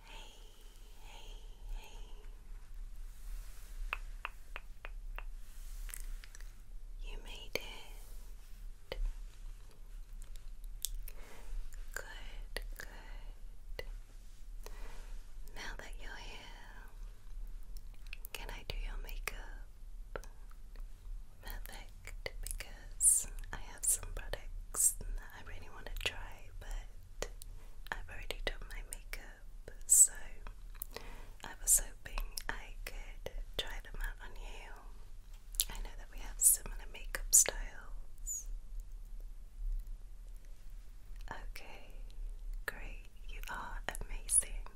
Hey, hey, hey. You made it. Good, good. Now that you're here, can I do your makeup? Perfect, because I have some products I really want to try, but I've already done my makeup, so I was hoping I could try them out on you. I know that we have similar makeup styles. Okay, great, you are amazing.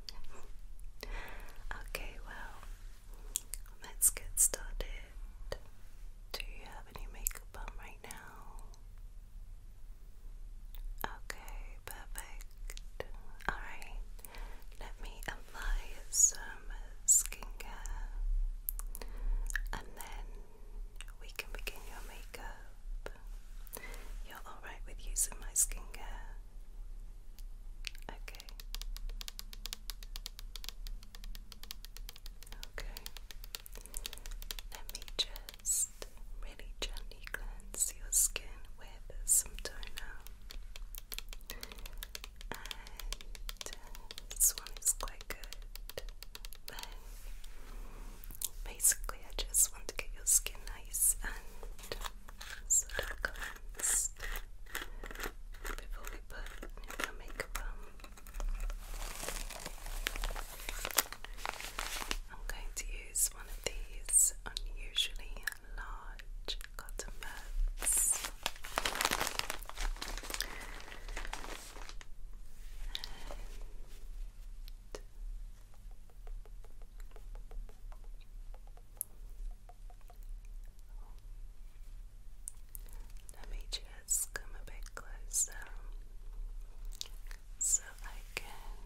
okay, well, let's get started. Do you any makeup on right now? Okay, perfect. Alright, let me apply some skincare and then we can begin your makeup. You're alright with using my skincare? Okay. Okay. Let me just really gently cleanse your skin with some toner. this one is quite good. basically, I just want to get your skin nice and sort of cleansed before we put your makeup on. I'm going to use one of these unusually large cotton buds. let me just let come a bit closer so I can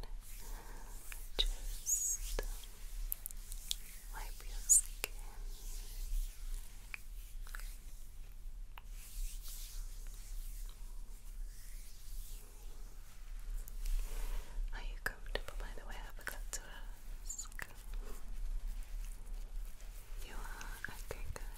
just um, wipe your skin. Are you comfortable by the way? I forgot to ask. You are? Okay, good.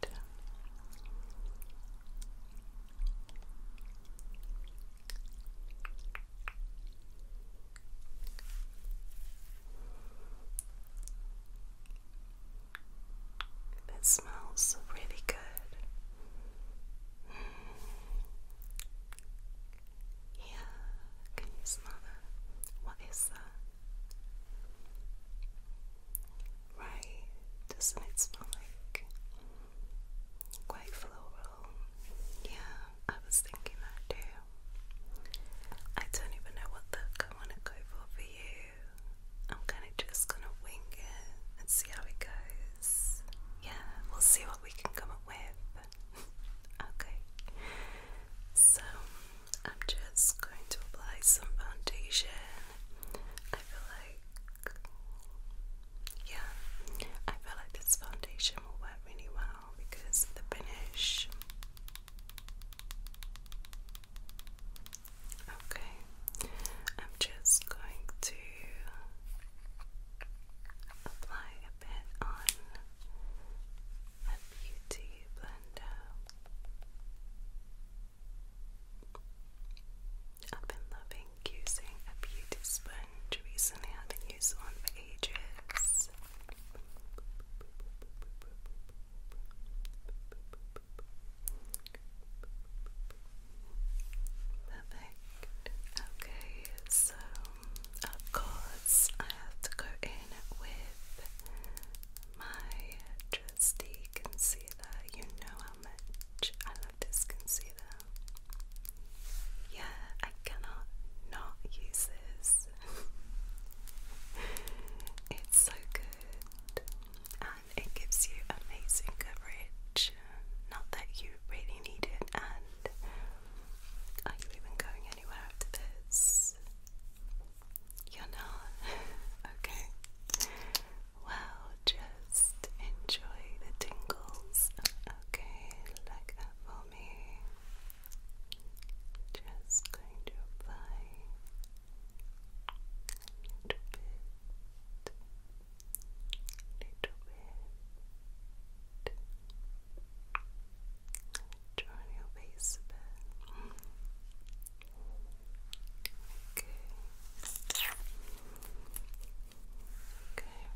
Good. That smells really good. Yeah, can you smell that? What is that? Right, doesn't it smell like quite floral? Yeah, I was thinking that too. I don't even know what look I want to go for for you. I'm kind of just gonna wing it and see how it goes. Yeah, we'll see what we can come up with. okay, so I'm just going to apply some foundation. I feel like, yeah, I feel like this foundation will work really well because the finish. Okay, I'm just going to apply a bit on a beauty blender. I've been loving using a beauty sponge recently. I haven't used one for ages. Perfect. Okay, so of course, I have to go in with my trusty concealer. You know how much I love this concealer. Yeah, I cannot not use this. it's so good and it gives you amazing coverage. Not that you really need it, and are you even going anywhere after this? You're not? okay. Well, just enjoy the tingles. Okay, like that for me. Just going to apply little bit, little bit drawing your face a bit. Okay. Okay.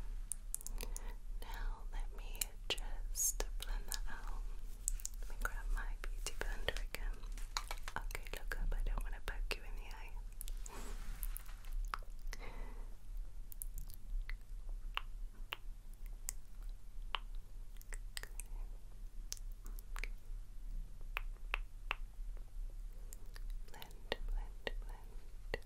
Now let me just blend that out. Let me grab my beauty blender again. Okay, look I don't want to poke you in the eye. Blend, blend, blend.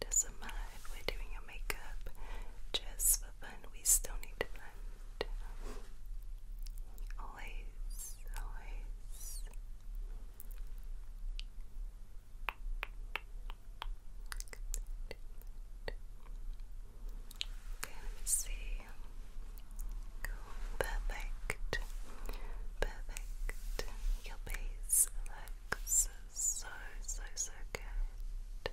Doesn't matter if we're doing your makeup just for fun, we still need to blend. Always, always. Okay, let me see. Perfect. Perfect. Your base looks so, so, so good.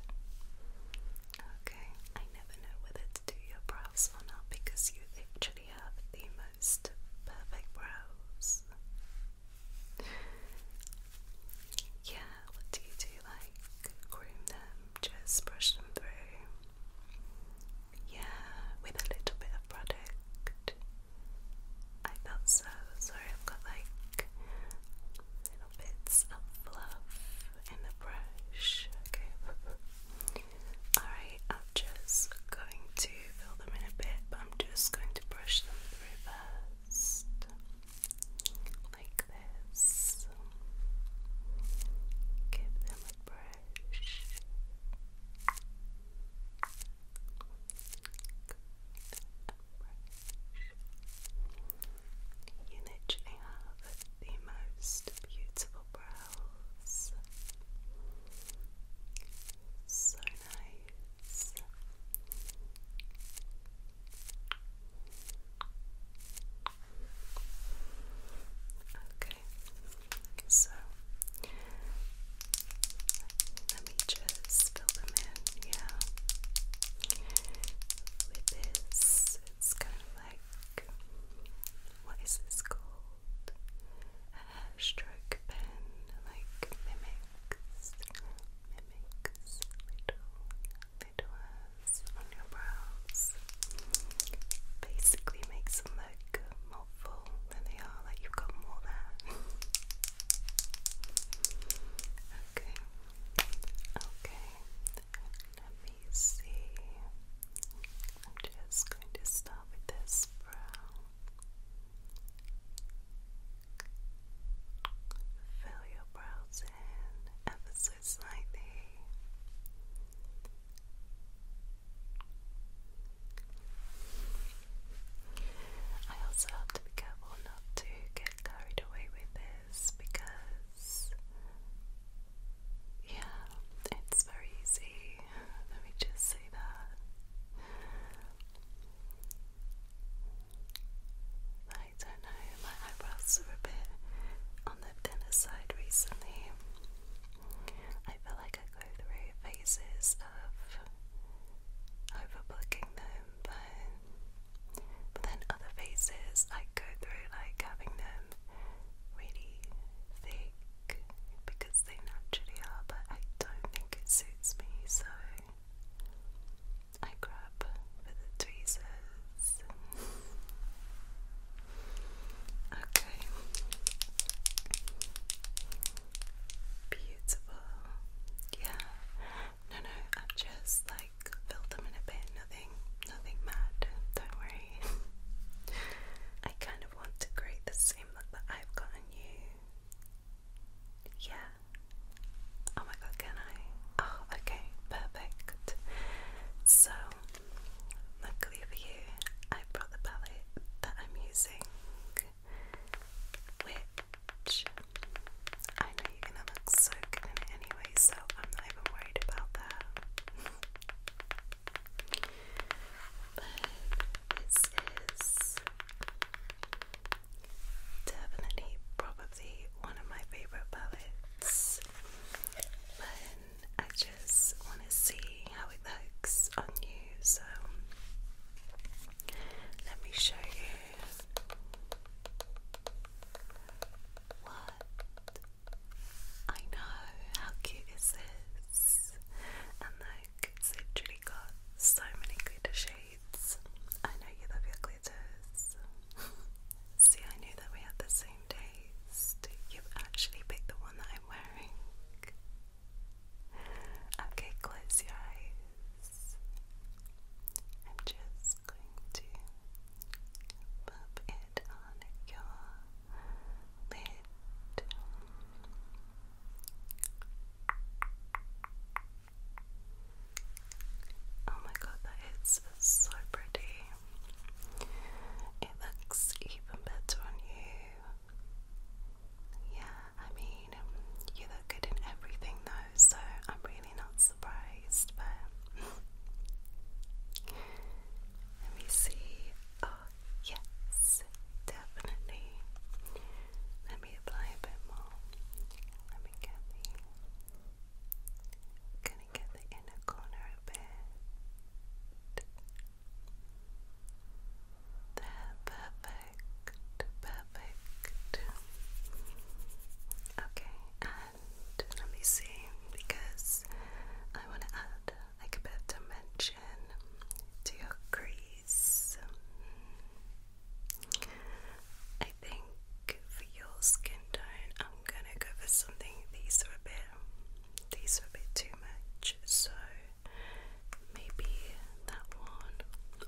Okay, I never know whether to do your brows or not because you actually have the most perfect brows. Yeah, what do you do? Like groom them, just brush them through. Yeah, with a little bit of product. I thought so. Sorry, I've got like little bits of fluff in the brush. Okay. Alright, I'm just going to fill them in a bit, but I'm just going to brush them through first. Like this. Give them a brush. You literally have the most beautiful brows. So nice. Okay, so let me just fill them in, yeah. With this, it's kind of like what is this called? hair stroke pen like mimics, mimics little, little hairs on your brows. Basically makes them look more full than they are, like you've got more there. okay, okay, let me see. I'm just going to start with this brow. Fill your brows in ever so slightly. I also have to be careful not to get carried away with this because, yeah, it's very easy. Let me just say that. I don't know, my eyebrows are a bit on the thinner side recently. I feel like I go through phases of overbooking them, but, but then other phases I go through like having them really thick because they naturally are, but I don't think it suits me, so I grab with the tweezers. okay. Beautiful. Yeah. No, no, I've just like filled them in a bit. Nothing, nothing mad. Don't worry. I kind of want to create the same look that I've gotten you yeah. Oh my god, can I? Oh, okay, perfect. So, luckily for you, I brought the palette that I'm using, which I know you're gonna look so good in it anyway, so I'm not even worried about that. this is Definitely, probably one of my favourite palettes. And I just want to see how it looks on you, so let me show you what I know. How cute is this? And look, it's literally got so many glitter shades. I know you love your glitters. See, I knew that we had the same taste. You've actually picked the one that I'm wearing. Okay, close your eyes. I'm just going to pop it on your lid. Oh my god, that is so pretty. It looks even better on you. Yeah, I mean, you look good in everything though, so I'm really not surprised, but. Let me see. Oh, yes, definitely. Let me apply a bit more. Let me get the I'm gonna get the inner corner a bit. There, perfect, perfect. Okay, and let me see because I want to add like a bit of dimension to your crease. I think for your skin tone, I'm gonna go for something. These are a bit, these are a bit too much, so maybe that one,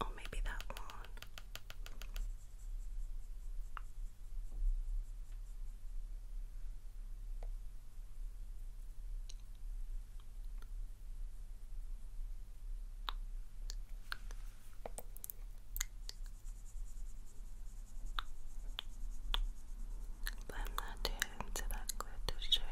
or maybe that one. But I'm not that glitter shade.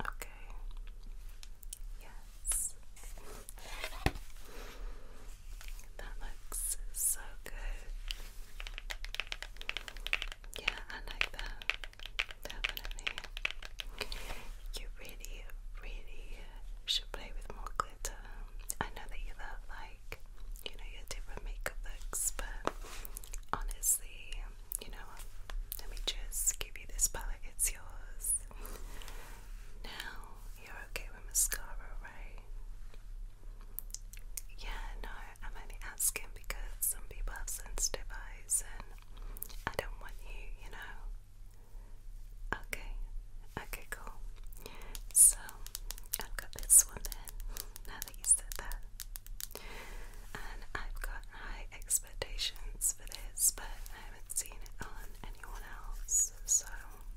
Okay. Yes. That looks so good. Yeah, I like that. Definitely. You really, really should play with more glitter. I know that you love, like, you know, your different makeup looks, but honestly, you know Let me just give you this palette, it's yours. Now, you're okay with mascara, right? Yeah, no, I'm only asking because some people have sensitive eyes and I don't want you, you know. Okay, okay, cool. So, I've got this one then, now that you said that. And I've got high expectations for this, but I haven't seen it on anyone else, so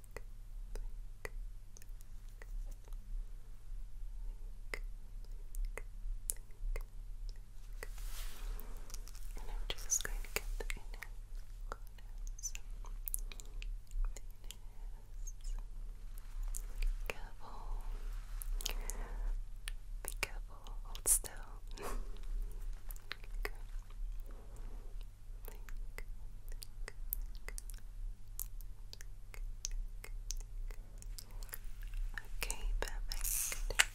And I'm just going to get the inner corners. Be careful. Be careful. Hold still. Okay, perfect.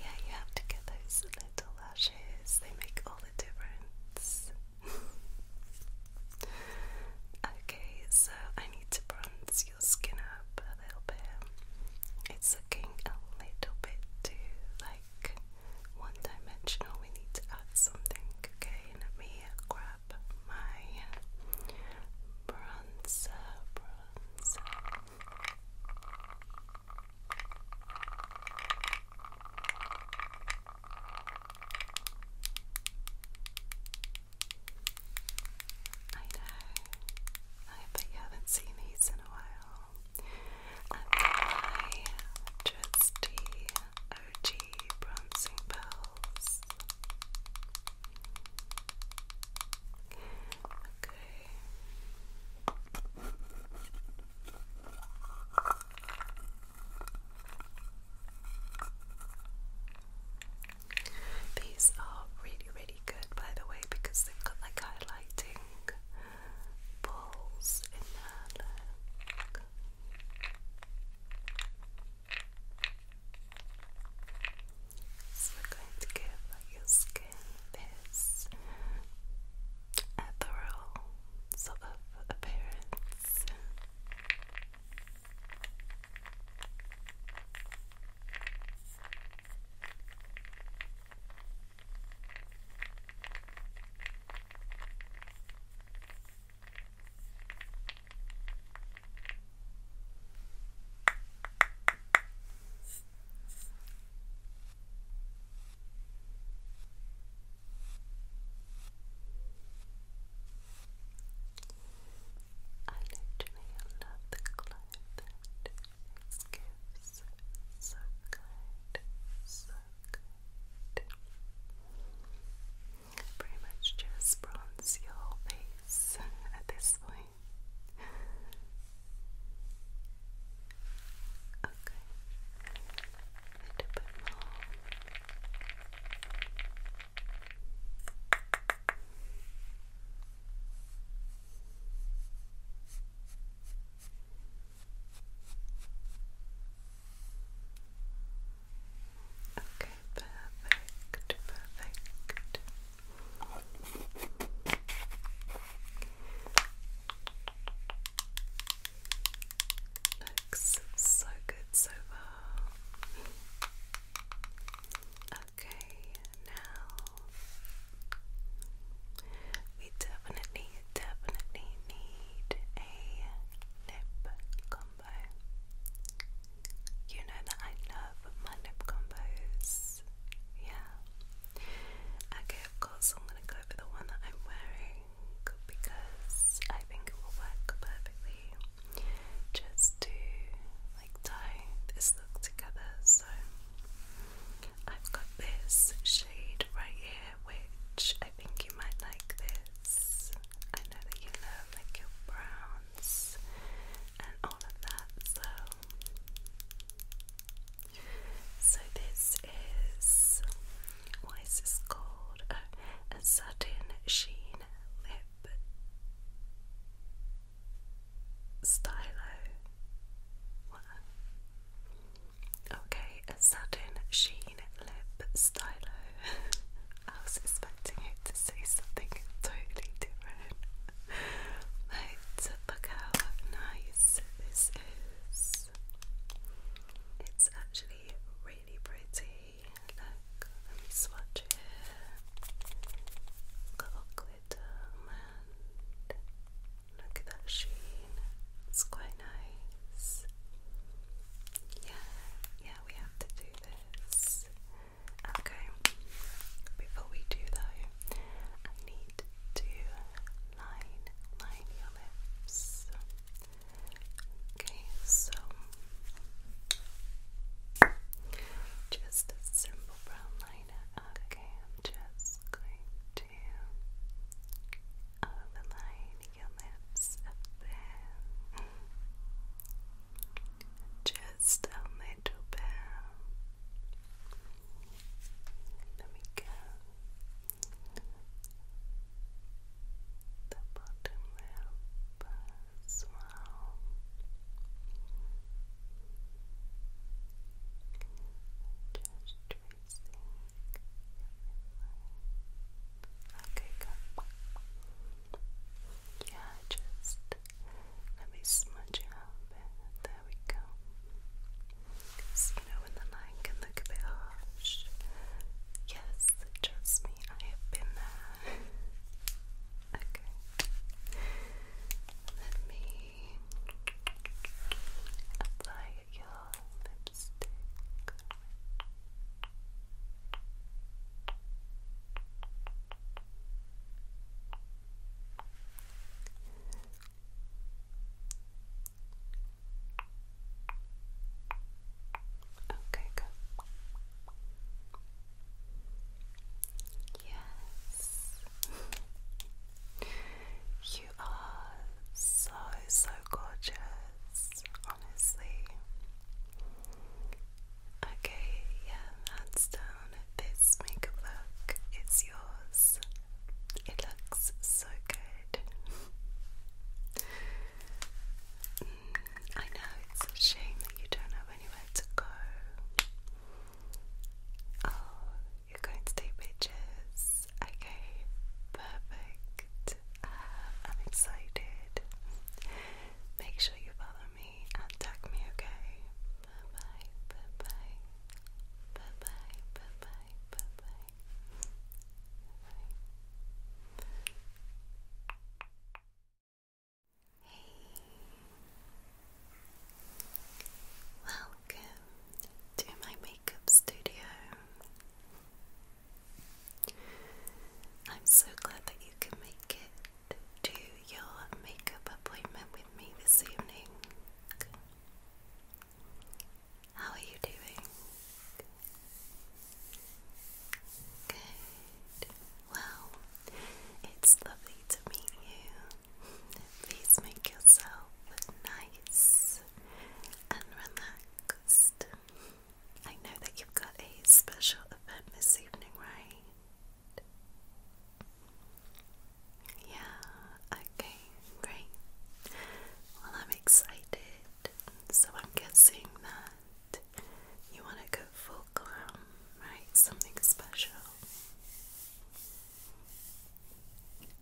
Yeah, you have to get those little lashes, they make all the difference. okay, so I need to bronze your skin up a little bit. It's looking a little bit too like one dimensional. We need to add something, okay? me grab my bronzer, I know. I bet you haven't seen these in a while. And my trusty bronzing pearls. Okay. These are really, really good, by the way, because they've got like highlighting balls in there. So we going to give your skin this ethereal sort of appearance. I literally love the climate. It gives so good, so Pretty much just bronze your face at this point. Okay. Okay, perfect, perfect. Looks so good so far. Okay, now we definitely definitely need a lip combo. You know that I love my lip combos. Yeah. Okay, of course, I'm gonna go for the one that I'm wearing because I think it will work perfectly just to like tie this look together. So I've got this shade right here, which I think you might like this. I know that you love like your browns and all of that, so so this is what is this called? a satin sheen lip stylo. Okay, a satin sheen lip stylo. I was expecting you to say something totally different. look how nice this is. It's actually really pretty. Look, let me glitter, um, and look at sheen. It's quite nice. Yeah, yeah, we have to do this. Okay, before we do though, I need to line, line your lips. Okay, so just a simple brown liner. Okay, I'm just going to overline uh, your lips up Just a little bit. There we go. The bottom lip as well. Just tracing everything. Okay, good. Yeah, just let me smudge it out There we go. you know when the line can look a bit harsh. Yes, trust me, I have been there. okay. Let me apply your lipstick. Okay, good. Yes. you are so, so gorgeous honestly. Okay, yeah, hands down, this makeup look is yours. It looks so good. Mm, I know it's a shame that you don't have anywhere to go. Oh, you're going to take pictures. Okay, perfect. I'm excited. Make sure you follow me and tag me, okay? bye bye. Bye bye, bye bye, bye bye. Bye. Hey. Welcome to my makeup studio. I'm so glad that you can make it to your makeup appointment with me this evening. How are you doing? Good. Well, it's lovely to meet you. Please make yourself nice and relaxed. I know that you've got a special event this evening, right? Yeah, okay, great. Well, I'm excited, so I'm guessing that you want to go full glam, right? Something special.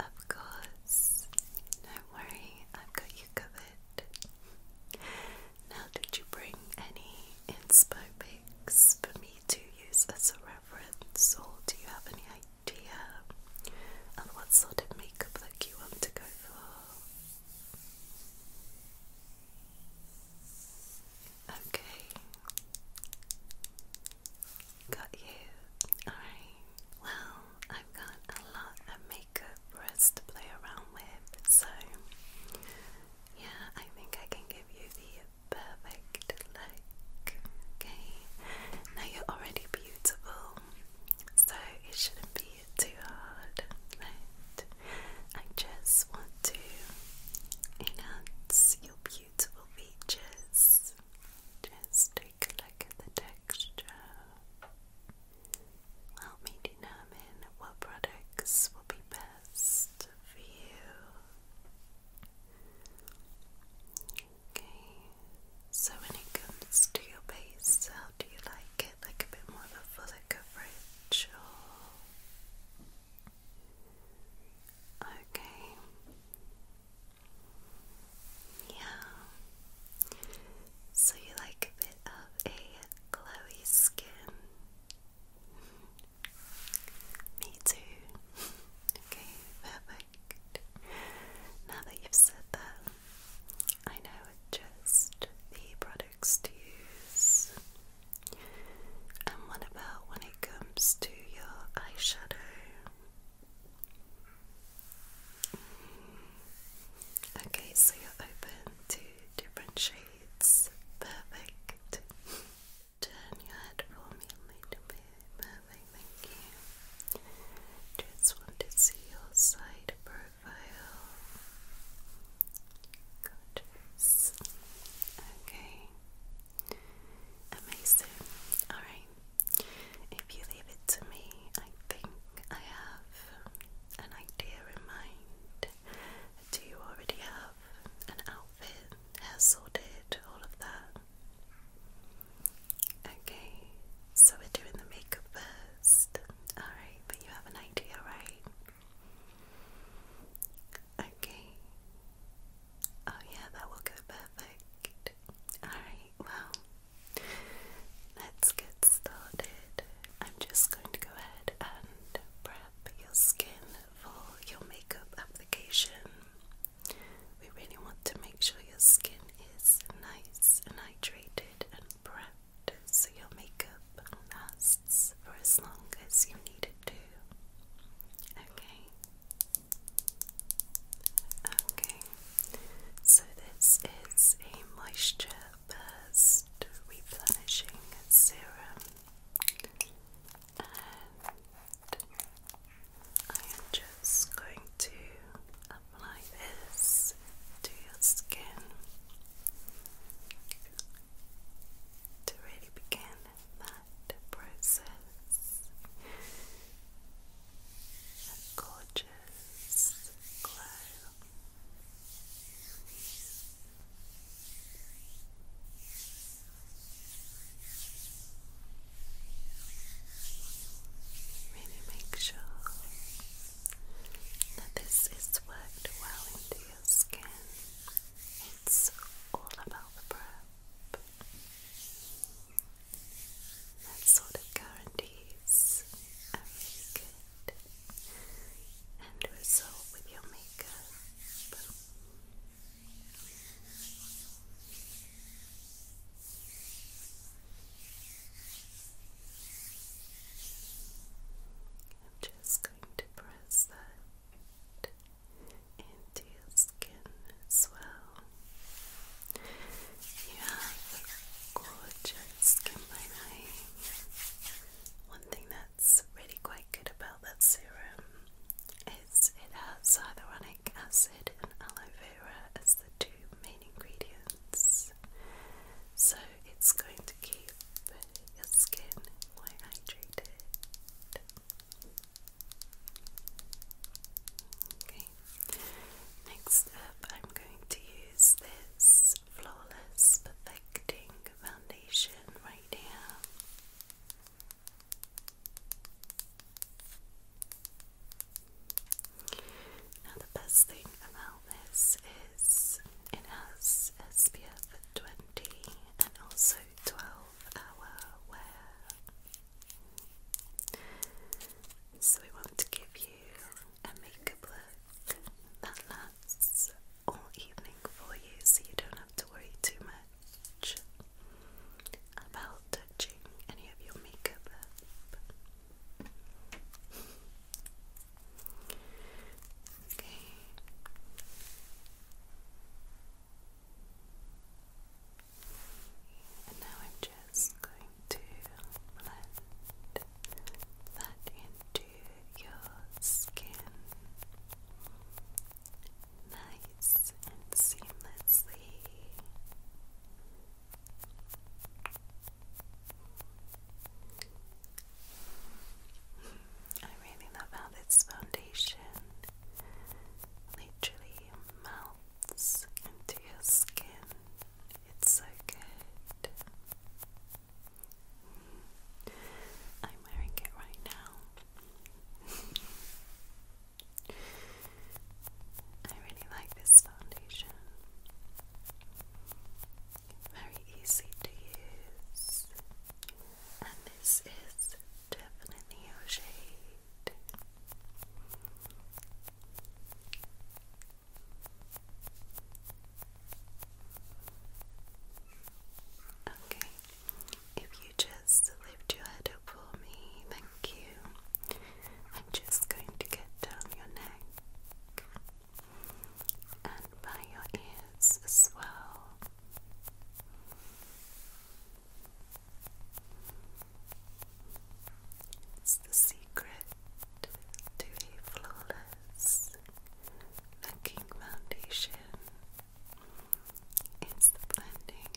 Of course, do worry, I've got you covered. Now, did you bring any inspo pics for me to use as a reference, or do you have any idea of what sort of makeup look you want to go for? Okay, got you. Alright, well, I've got a lot of makeup for us to play around with. So, yeah, I think I can give you the perfect look. Okay, now you're already beautiful, so it shouldn't be too hard, I just want to enhance your beautiful features. Just take a look the texture. Help me determine what products will be best for you. Okay, so when it comes to your base, how do you like it? Like a bit more of a fuller coverage Okay. Yeah. So you like a bit of a glowy skin. Me too. okay, perfect. Now that you've said that, I know just the products to use. And what about when it comes to your eyeshadow? Okay, so you're open to different shades. Perfect. Turn your head for me a Perfect, thank you. Just want to see your side profile. Gorgeous. Okay. Amazing. Alright. If you leave it to me, I think I have an idea in mind? Do you already have an outfit, hair sorted, all of that? Okay, so we're doing the makeup first. Alright, but you have an idea, right? Okay. Oh, yeah, that will go perfect. Alright, well, let's get started. I'm just going to go ahead and prep your skin for your makeup application. We really want to make sure your skin is nice and hydrated and prepped so your makeup lasts for as long as you need it to. Okay. Okay, so this is a moisture burst replenishing serum, and I am just going to apply this to your skin to really begin that process. gorgeous glow Really make sure that this is worked well into your skin. It's all about the prep. That sort of guarantees a really shade and result with your makeup. I'm just going to press that into your skin as well. You have gorgeous skin by one thing that's really quite good about that serum is it has hyaluronic acid and aloe vera as the two main ingredients. So it's going to keep your skin quite hydrated. Okay. Next up, I'm going to use this flawless perfecting foundation right here. Now, the best thing about this is it has SPF 20 and also 12 hour wear. So, we want to give you a makeup look that lasts all evening for you so you don't have to worry too much about touching any of your makeup Okay. And now I'm just going to blend that into your skin nice and seamlessly. I really love how this foundation literally melts into your skin. It's so good. I'm wearing it right now. I really like this foundation. Very easy to use. And this is definitely your shade. Okay, if you just lift your head up for me, thank you. I'm just going to get down your neck and by your ears as well. It's the secret to a flawless the King Foundation is blending.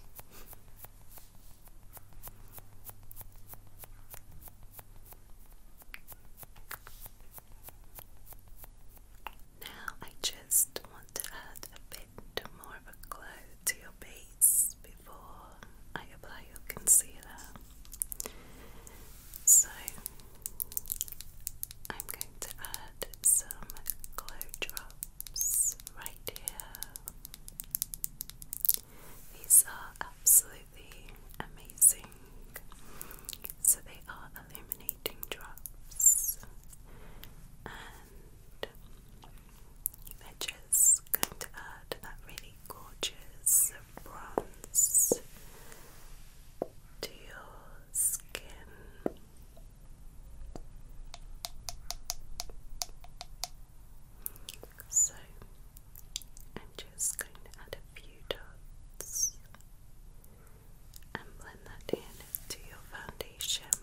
Now I just want to add a bit more of a glow to your base before I apply your concealer. So I'm going to add some glow drops right here. These are absolutely amazing. So they are illuminating drops and they're just going to add that really gorgeous bronze to your skin. So I'm just going to add a few dots and blend that in to your foundation.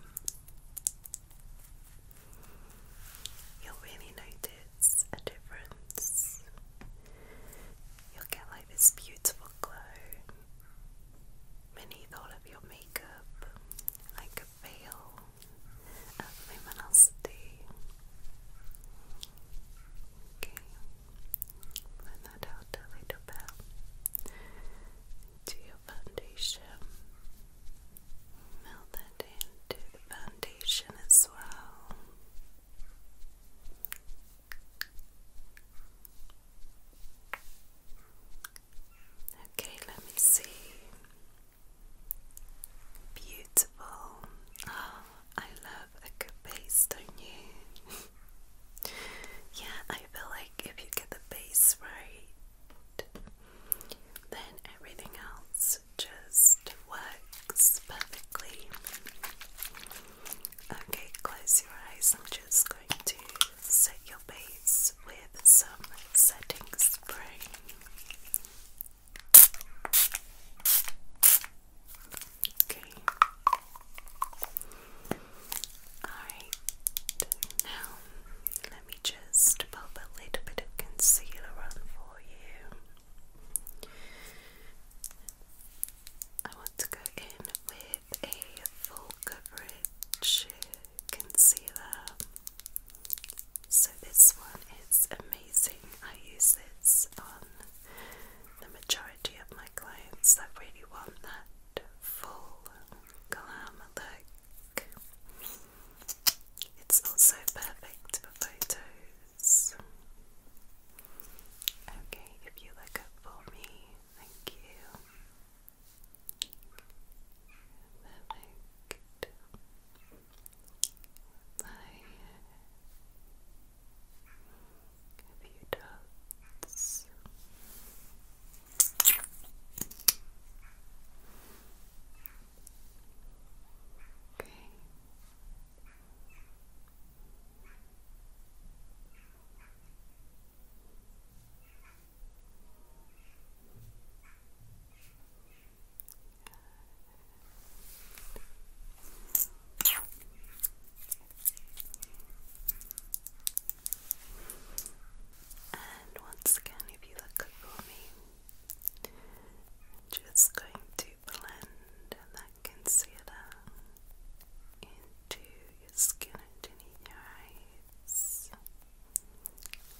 You'll really notice a difference get like this beautiful glow. Beneath all of your makeup, like a veil of luminosity. Okay, blend that out a little bit. Do your foundation. Melt into the foundation as well. Okay, let me see. Beautiful. Oh, I love a good base, don't you? yeah, I feel like if you get the base right, then everything else just works perfectly. Okay, close your eyes. I'm just going to set your base with some setting spray. Okay. Alright, now let me just pop a little bit of concealer on for you. I want to go in with a full coverage concealer. So this one is amazing. I use this on the majority of my clients that really want that full glam look. It's also perfect for photos. Okay, if you look up for me, thank you. Perfect. Bye. A few dots. Okay. And once again, if you look for me, just going to blend that concealer into your skin underneath your eyes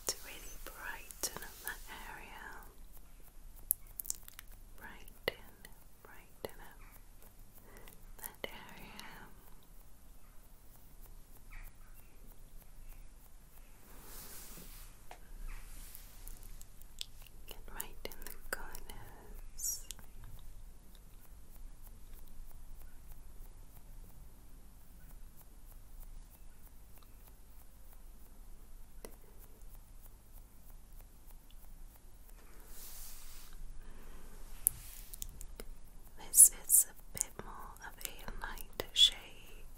to really brighten up that area. Brighten, brighten up that area. Get right in the corners. This is a bit more of a light shade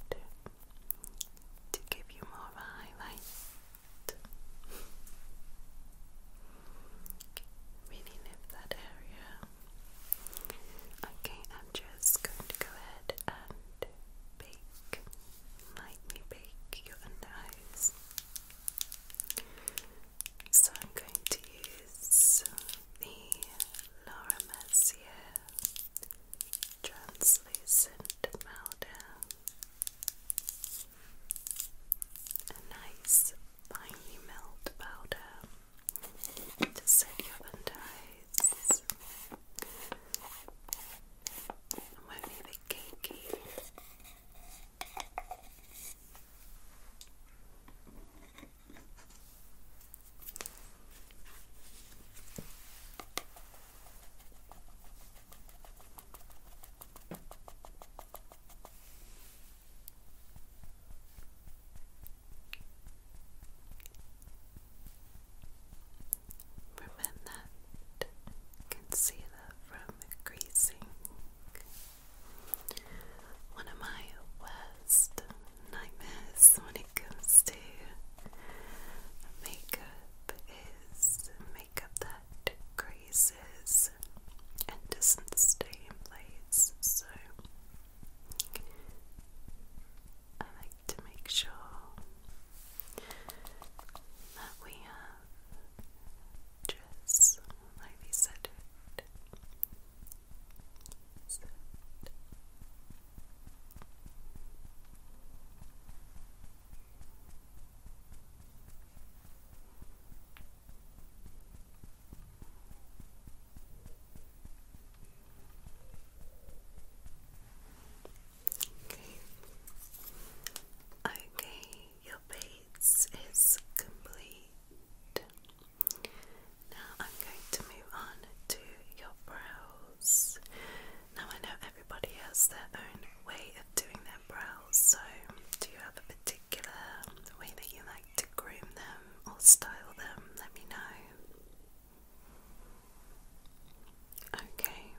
to give you more of a highlight meaning of that area. Okay, I'm just going to go ahead and bake, lightly bake your under eyes. So I'm going to use the Laura Mercier translucent powder a nice finely milled powder to set your under eyes. And won't be bit cakey. Remove that concealer from greasing. One of my worst nightmares when it comes to makeup is makeup that greases and doesn't stay in place, so I like to make sure that we have like we said Okay. your base is complete. Now I'm going to move on to your brows. Now I know everybody has their own way of doing their brows, so do you have a particular way that you like to groom them or style them, let me know. Okay,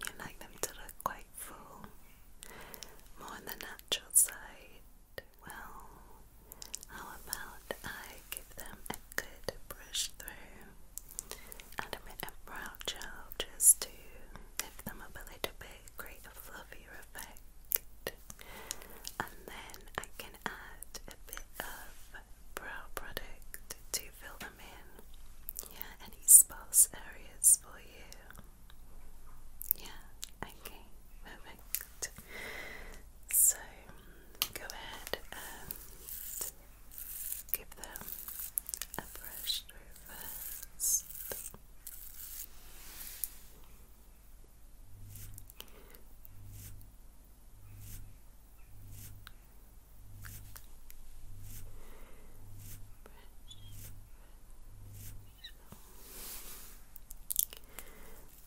you like them to look quite more on the natural side. Well, how about I give them a good brush through and a bit of brow gel just to give them a little bit, create fluffier effect. And then I can add a bit of brow product to fill them in. Yeah, any sparse areas for you. Yeah, okay, perfect. So go ahead and give them a brush through I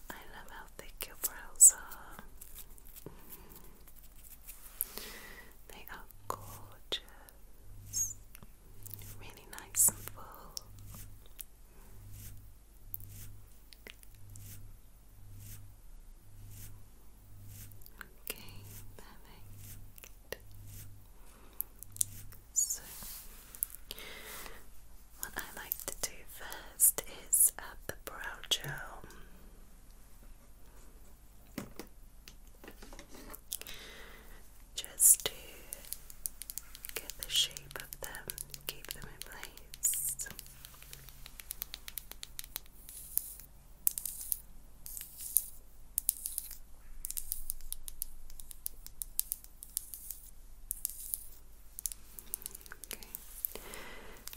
love how thick your brows are. Mm. They are gorgeous really nice and full. Okay, perfect. So, what I like to do first is add uh, the brow gel just to get the shape of them, keep them in place.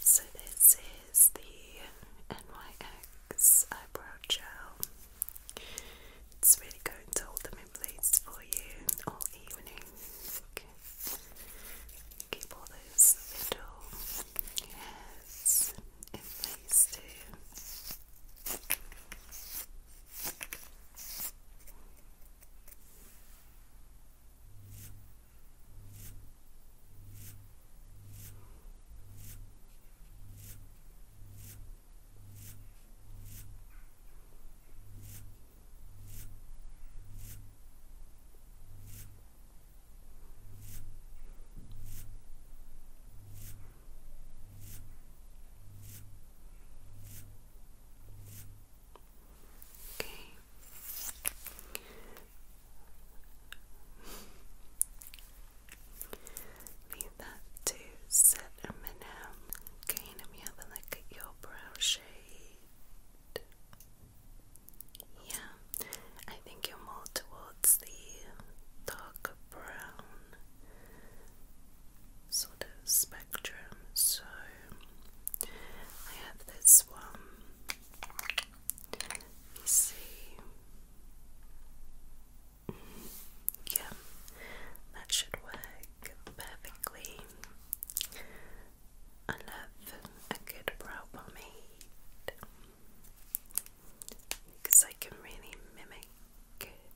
So this is the NYX eyebrow gel. It's really going to hold them in place for you all evening. Keep all those little hairs in place too. Okay. Leave that to sit a minute. Okay. Let me have a look at your brow shade. Yeah, I think you're more towards the darker brown sort of spectrum. So I have this one. Let see. Yeah, that should work perfectly. I love a good brow pomade because I can really mimic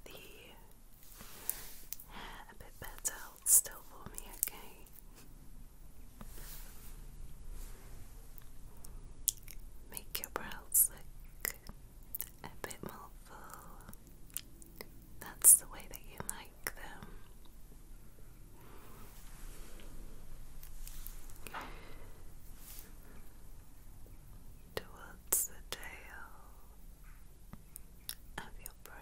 the hair a bit better. still for me, okay? Make your brows look a bit more full. That's the way that you like them. Towards the tail of your brow.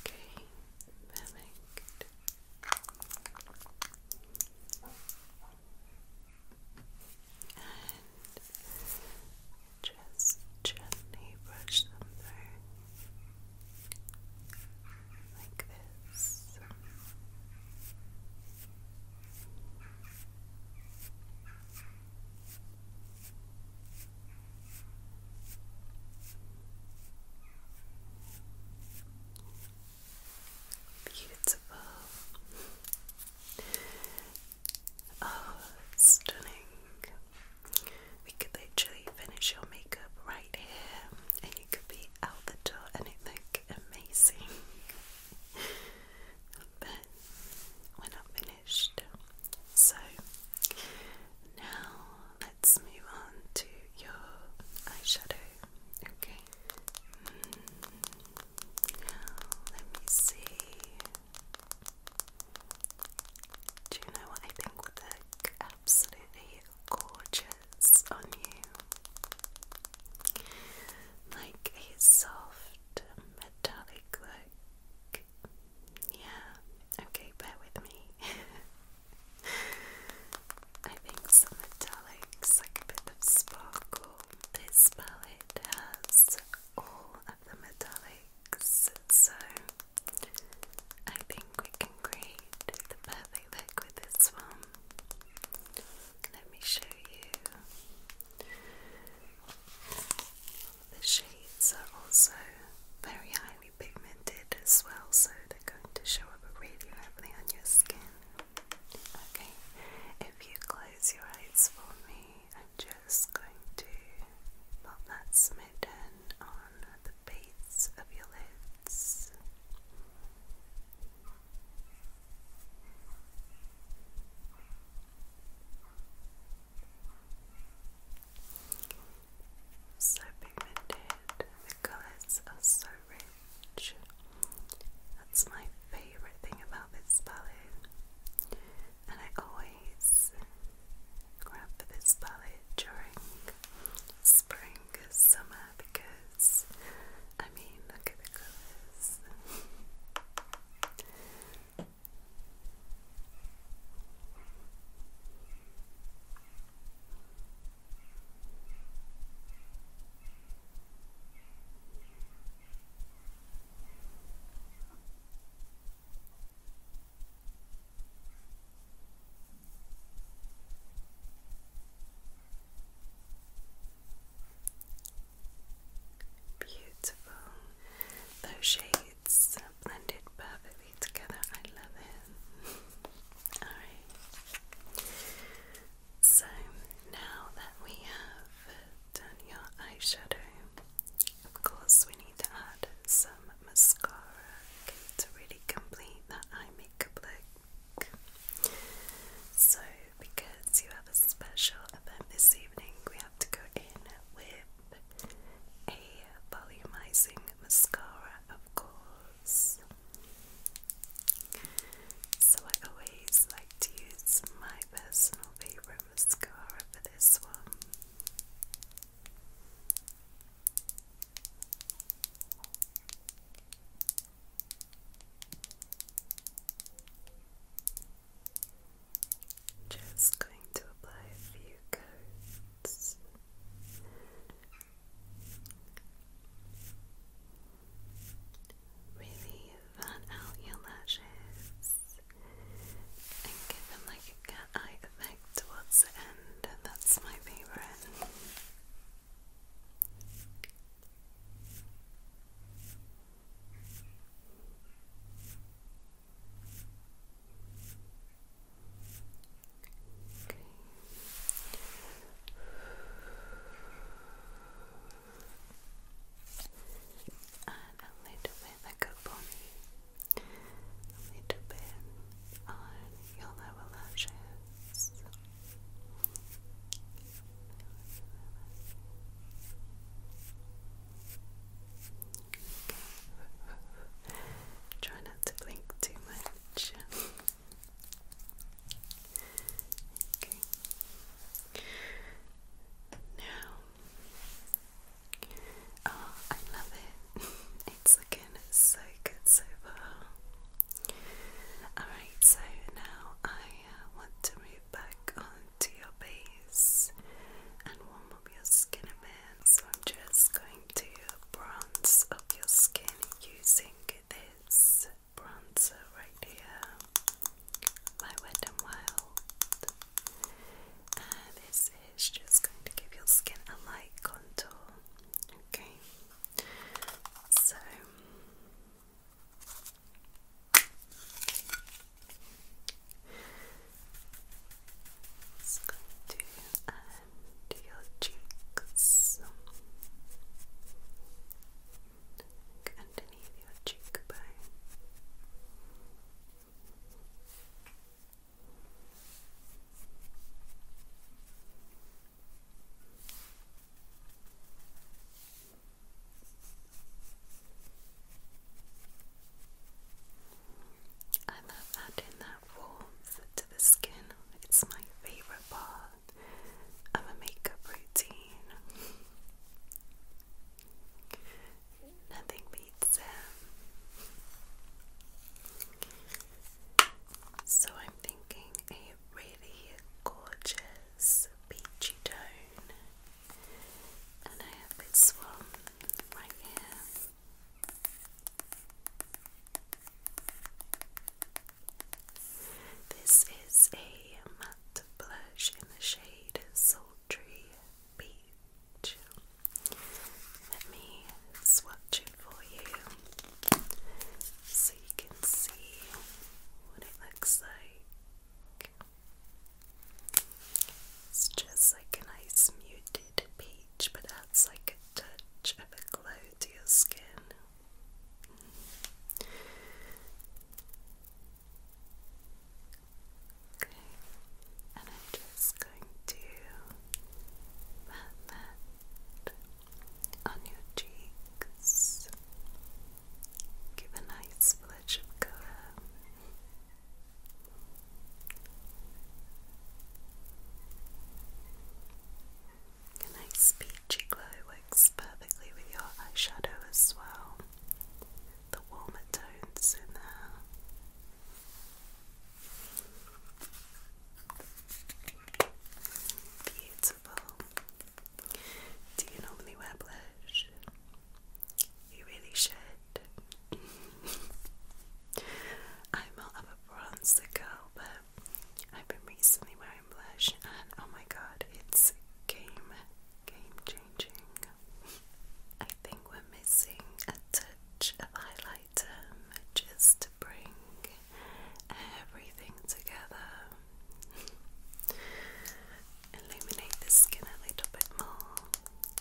Okay, perfect. And just gently brush them through like this. Beautiful. Oh, stunning. We could literally finish your makeup right here, and you could be out the door, and it look amazing. but we're not finished. So now let's move on to your eyeshadow. Okay. Mm. Let me see. Do you know what I think would look absolutely gorgeous on you? Like a soft metallic look. Yeah, okay, bear with me. I think some metallics, like a bit of sparkle. This palette has all of the metallics, so I think we can create the perfect look with this one. Let me show you. The shades are also very highly pigmented as well, so they're going to show up really lovely on your skin. Okay, if you close your eyes for me, I'm just going to pop that smitten on the base of your lids so pigmented, the colours are so rich. That's my favourite thing about this palette, and I always grab for this palette during spring or summer because I mean, look at the colours. Beautiful. Those shades blended perfectly together. I love it. Alright. So now that we have done your eyeshadow, of course we need to add some mascara okay, to really complete that eye makeup look. So because you have a special event this evening, we have to go in with a volumizing mascara, of course. So I always like to use my personal favorite mascara for this one. Just going to apply a few coats. Really fan out your lashes and give them like a cat eye effect towards the end, that's my favorite. Okay. And a little bit like a pony, a little bit on your lower lashes. Okay. Try not to blink too much. okay. Now, oh, I love it. it's looking so good so far. Alright, so now I uh, want to move back onto your base and warm your skin a So I'm just going to bronze up your skin using this bronzer right here by Wet n Wild. And this is just going to give your skin a light contour. Okay. So just going to and your cheeks underneath your cheekbone. I love adding that warmth to the skin. It's my favorite part of a makeup routine. Nothing beats it. So I'm thinking a really gorgeous peachy tone. And I have this one right here. This is a matte blush in the shade Sultry Beach. Let me swatch it for you so you can see what it looks like. It's just like a nice muted muted peach, but adds like a touch of a glow to your skin. Okay, and I'm just going to pat that on your cheeks. Give a nice flush of colour. A nice peachy glow works perfectly with your eyeshadow as well. The warmer tones in there. Beautiful. Do you normally wear blush? You really should. I'm all of bronzer girl, but I've been recently wearing blush, and oh my god, it's game, game changing. I think we're missing a touch of highlighter just to bring everything together. Illuminate the skin a little bit more.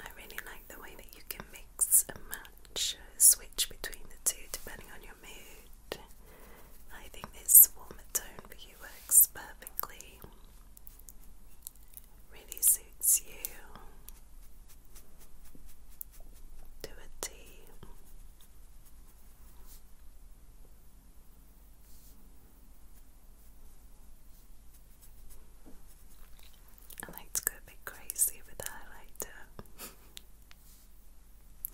I really like the way that you can mix and match, switch between the two depending on your mood. I think this warmer tone for you works perfectly. Really suits you to a T. I like to go a bit crazy with the highlighter.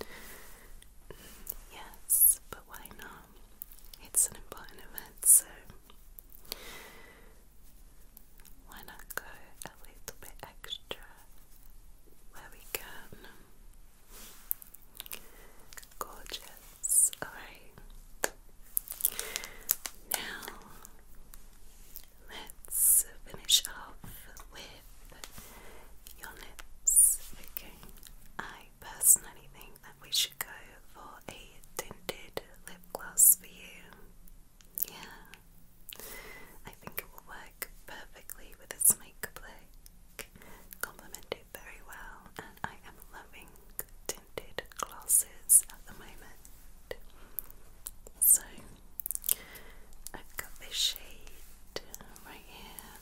yes, but why not? It's an important event, so why not go a little bit extra where we can? Gorgeous. Alright. Now let's finish off with your lips. Okay. I personally think that we should go for a tinted lip gloss for you. Yeah. I think it will work perfectly with a makeup look, complement it very well, and I am loving tinted glasses at the moment. So, I've got this shade right here,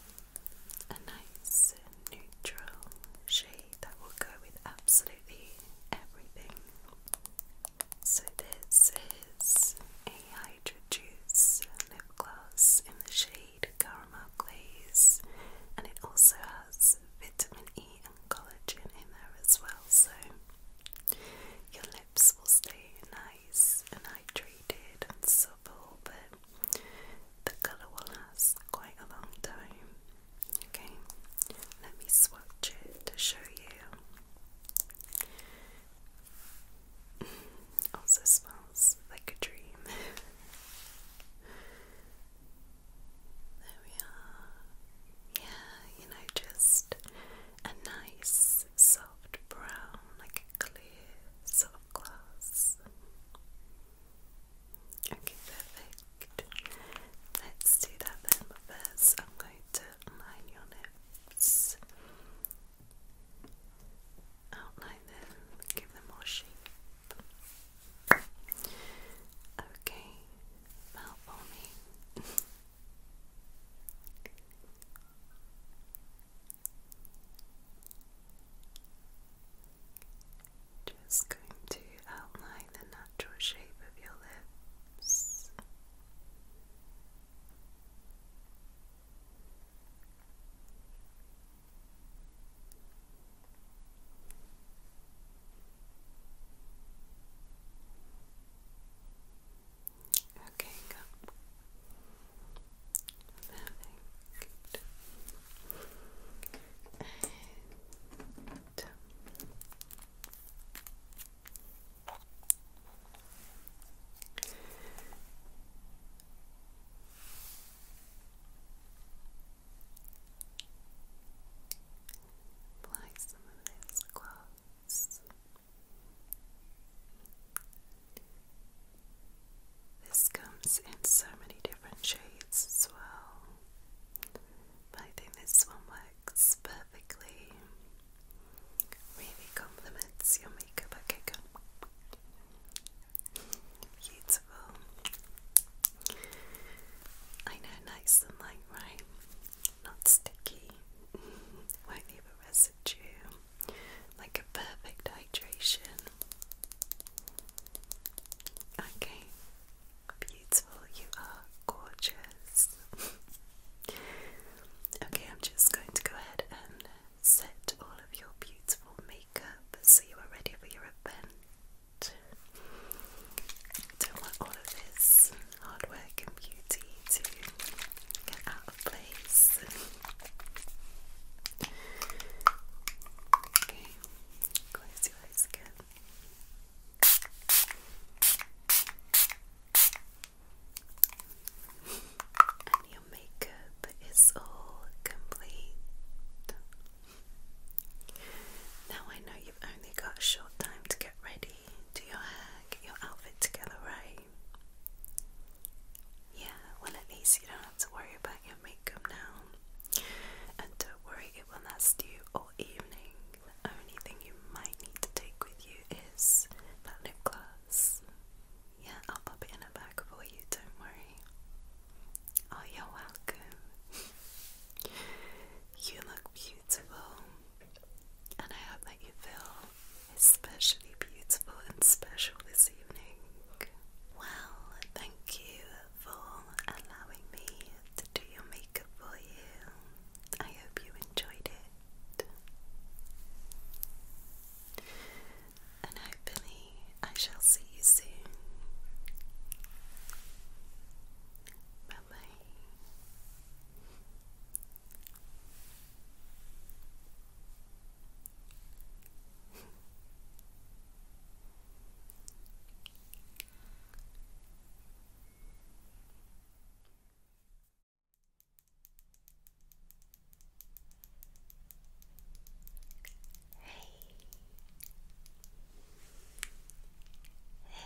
a nice neutral shade that will go with absolutely everything. So, this is a Hydro Juice lip gloss in the shade caramel glaze, and it also has vitamin E and collagen in there as well, so your lips will stay nice and hydrated and supple, but the colour will last quite a long time. Okay, let me swatch it to show you also smells like a dream. there we are. Yeah, you know, just a nice soft brown, like a clear sort glass. Okay, perfect. Let's do that then, but first I'm going to line your lips outline them, give them more shape. Okay, fell for me. Just going to outline the natural shape of your lips. Okay, go. Perfect. And Apply some of this gloss. This comes in so many different shades as well, but I think this one works perfectly. Really complements your makeup. Okay, good. Beautiful. I know, nice and light, right? Not sticky. Won't leave a residue. Like a perfect hydration. Okay. Beautiful. You are gorgeous. okay, I'm just going to go ahead and set all of your beautiful makeup so you are ready for your event. Don't want all of this hard work and beauty to get out of place. close your eyes again makeup is all complete. Now I know you've only got short time to get ready, do your hair, get your outfit together, right? Yeah, well, at least you don't have to worry about your makeup now. And don't worry, it will last you all evening. The only thing you might need to take with you is that lip gloss. Yeah, I'll pop it in a bag for you, don't worry. Oh, you're welcome. you look beautiful, and I hope that you feel especially beautiful and special this evening. Well, thank you for allowing me to do your makeup for you. I hope you enjoyed it and hopefully I shall see you soon. Bye bye. Hey.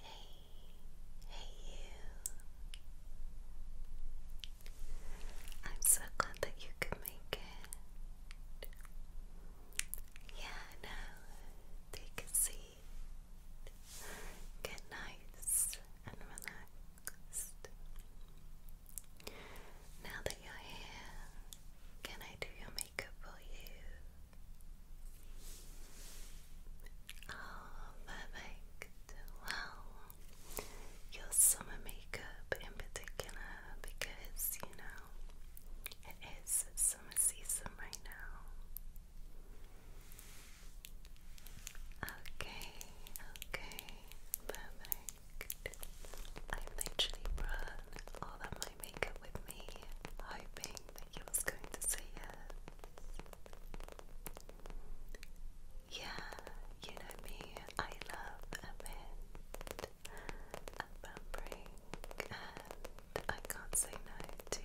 Hey, hey, you. I'm so glad that you could make it. Yeah, now take a seat. Get nice and relax. Now that you're here, can I do your makeup for you? Oh, perfect. Well, your summer makeup in particular, because you know it is summer season right now. Okay, okay, perfect. I've literally run all of my makeup with me, hoping that you was going to say yes. Yeah, you know me, I love a bit of pampering, and I can't say no to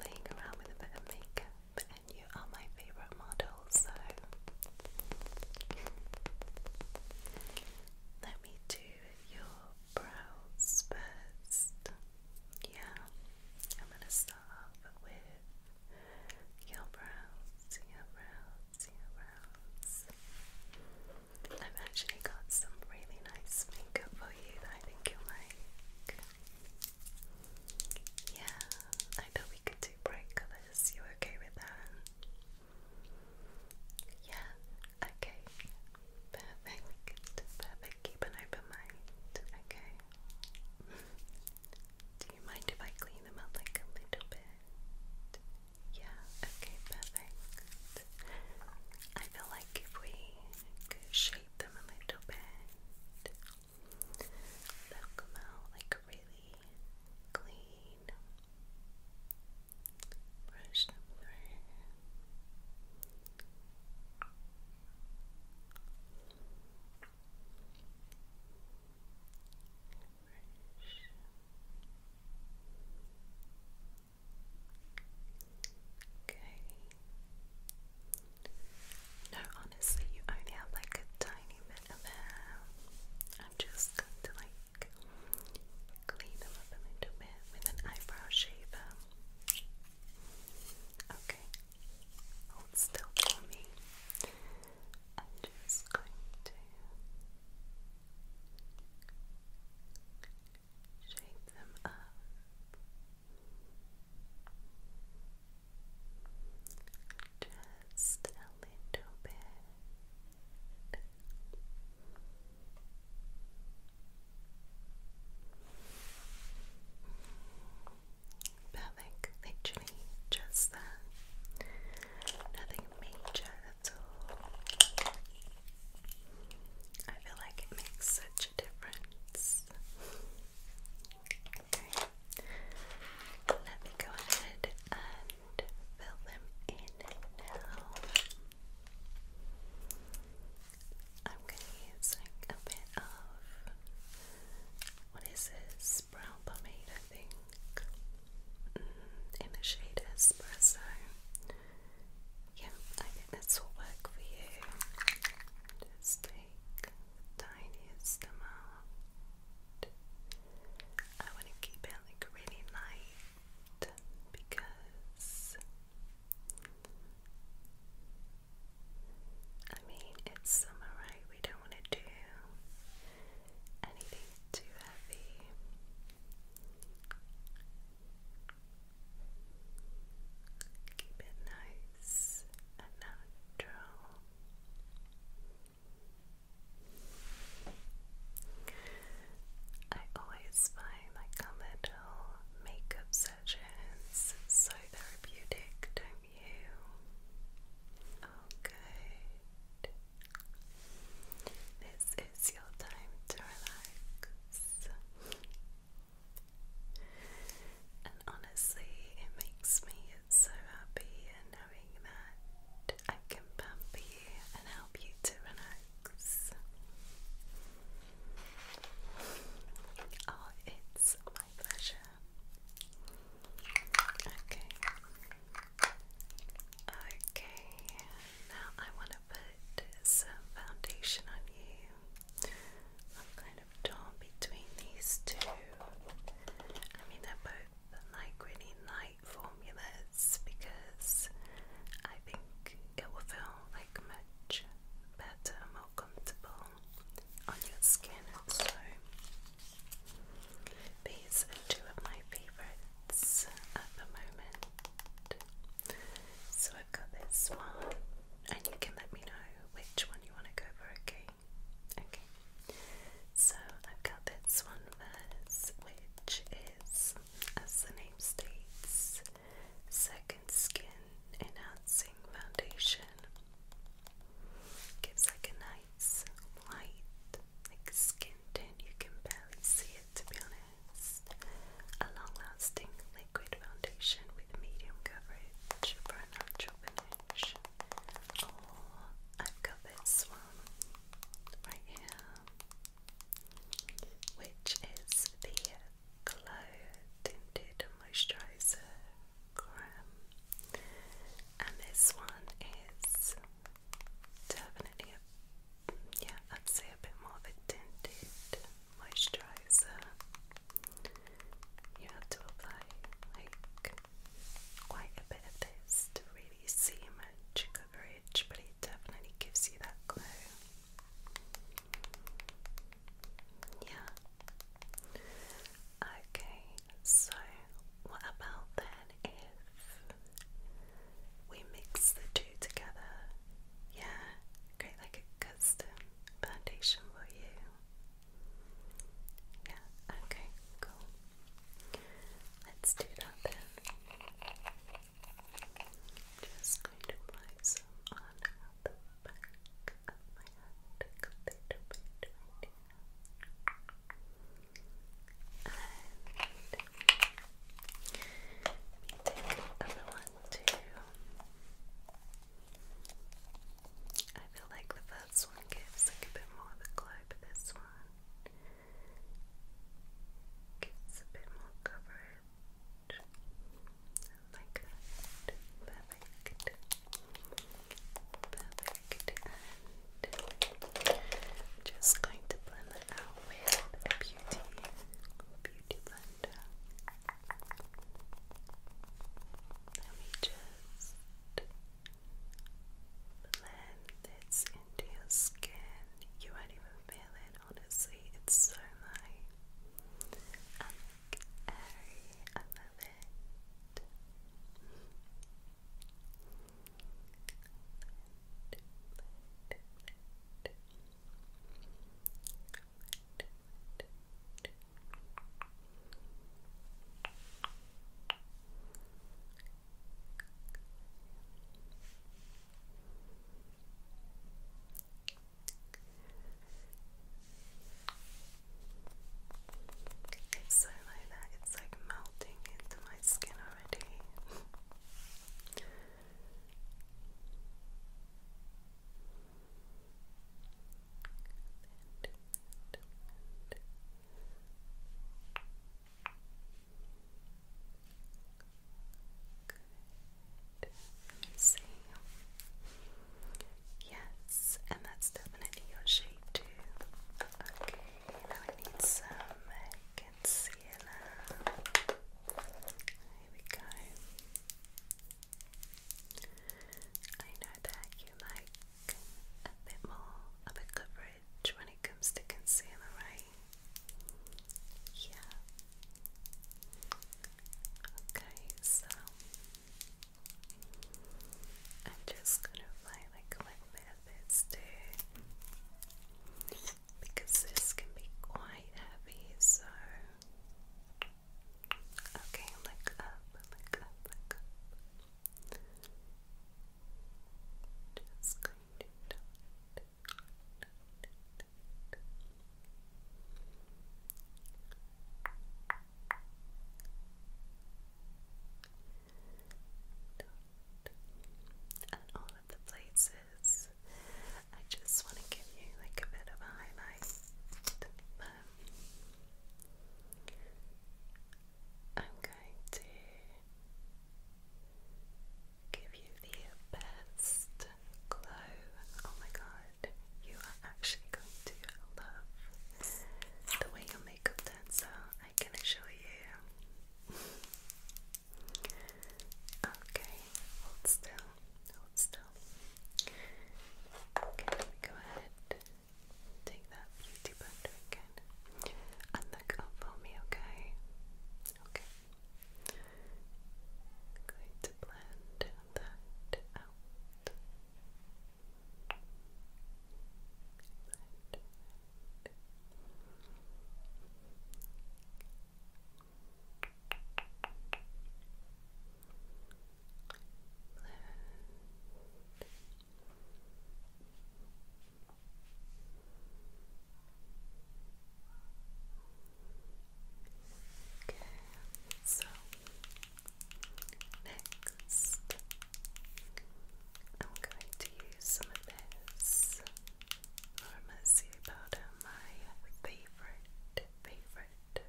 laying around with a bit of makeup, and you are my favourite model so let me do your brows first. Yeah, I'm gonna start with your brows, your brows, your brows. I've actually got some really nice makeup for you that I think you'll like. Yeah, I thought we could do bright You okay with that? Yeah, okay. Perfect. Perfect. Keep an open mind. Okay. Do you mind if I clean them up like a little bit? Yeah, okay, perfect. I feel like if we shape them a little bit, they'll come out like really clean Brush them through. Okay. No, honestly, you only have like a tiny and then I'm just going to like clean them up a little bit with an eyebrow shaver. Okay, hold still for me. I'm just going to shape them up. Just a little bit. Perfect, just that. Nothing major at all. I feel like it makes such a difference. Okay. Let me go ahead and fill them in now. I'm gonna use a bit of what is this brown pomade, I think, mm, in the shade Espresso. Yeah, I think this will work for you. Just take the tiniest amount. I want to keep it like really light because I mean it's summer, right? We don't want to do anything too heavy. Keep it nice and natural. I always find like a little makeup sessions so therapeutic, don't you? Oh, This is your time to relax. And honestly, it makes me so happy and that I can pamper you and help you to relax. Oh, it's my pleasure. Okay. Okay, now I want to put some foundation on you. I'm kind of torn between these two. I mean, they're both than like really light formulas because I think it will feel like much better, more comfortable on your skin. So these are two of my favourites at the moment. So I've got this one, and you can let me know which one you want to go for, okay? Okay. So I've got this one first, which is, as the name states, Second Skin Enhancing Foundation. Gives like a nice light, like skin tint. You can barely see it, to be honest. A long-lasting liquid foundation with medium coverage for a natural finish. Or I've got this one, right here, which is the Glow Tinted Moisturizer and this one is definitely yeah, i a bit more of a tinted moisturizer. You have to apply like quite a bit of this to really see much coverage, but it definitely gives you that glow. Yeah. Okay, so what about then if we mix the two together? Yeah, create like a custom foundation, will you? Yeah, okay, cool. Let's do that then. Just going to apply some on the back of my hand, a little bit And take another one too. I feel like the first one gives like a bit more of a glow, but this one Gives a bit more coverage. like that. Perfect. Perfect. And just going to blend that out with a beauty beauty blender. Let me just blend this into your skin. You won't even feel it, honestly. It's so light, airy. I love it. It's so low that it's like melting into my skin already. Good. Yes, and that's definitely your shape too. Okay, now I need some concealer. Here we go. I know that you like a bit more of a coverage coverage when it comes to concealer, right? Yeah. Okay, so I'm just gonna apply like a little bit of this too, because this can be quite heavy. So, okay, look up, look up, look up. Just and all of the places. I just want to give you like a bit of a highlight. Um, I'm going to give you the best glow. Oh my god, you are actually going to love the way your makeup turns out, I can assure you. okay, hold still, hold still. Okay, let me go ahead. Take that beauty blender again good. And look for me, okay? Okay. going to blend that out. Okay, so next I'm going to use some of this Normacy powder, my favorite, favorite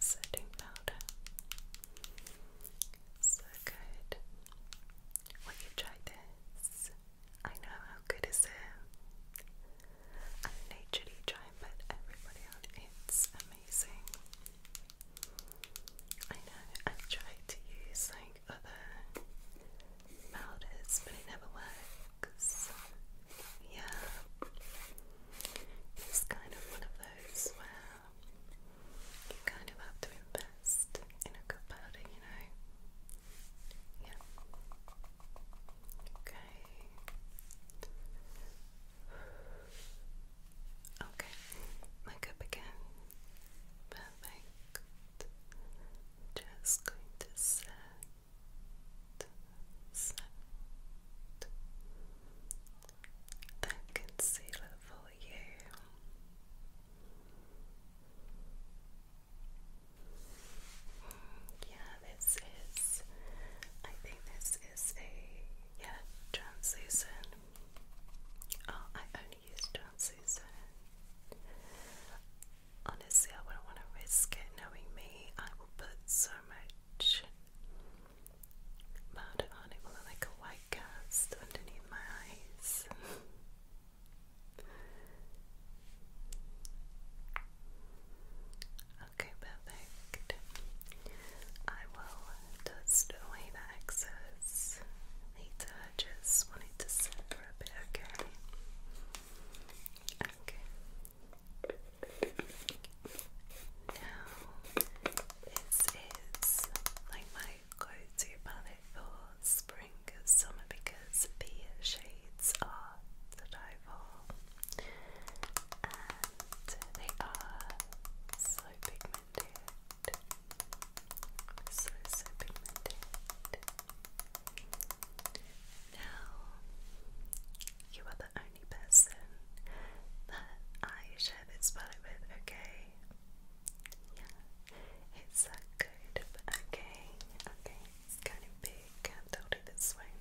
setting powder. So good. Will you try this? I know how good is it. I naturally try and everybody on. It's amazing. I know I tried to use like other powders, but it never works. Yeah, it's kind of one of those where you kind of have to invest in a good powder, you know. Yeah. Okay. Okay. Make again. Perfect. Just going to set, set that concealer for you. Yeah, this is, I think this is a, yeah, translucent. Oh, I only use translucent. Honestly, I wouldn't want to risk it knowing me. I will put so much powder on it, like a white cast underneath my eyes. Okay, perfect. I will dust away the excess later. just want to sit for a bit, okay? Okay. Now, this is like my clothes to palette for spring and summer because the shades are the and they are so pigmented. So, so pigmented. Now, you are the only person that I share this palette with, okay? Yeah, it's uh, good. Okay, okay, it's kind of big. Can't hold it this way.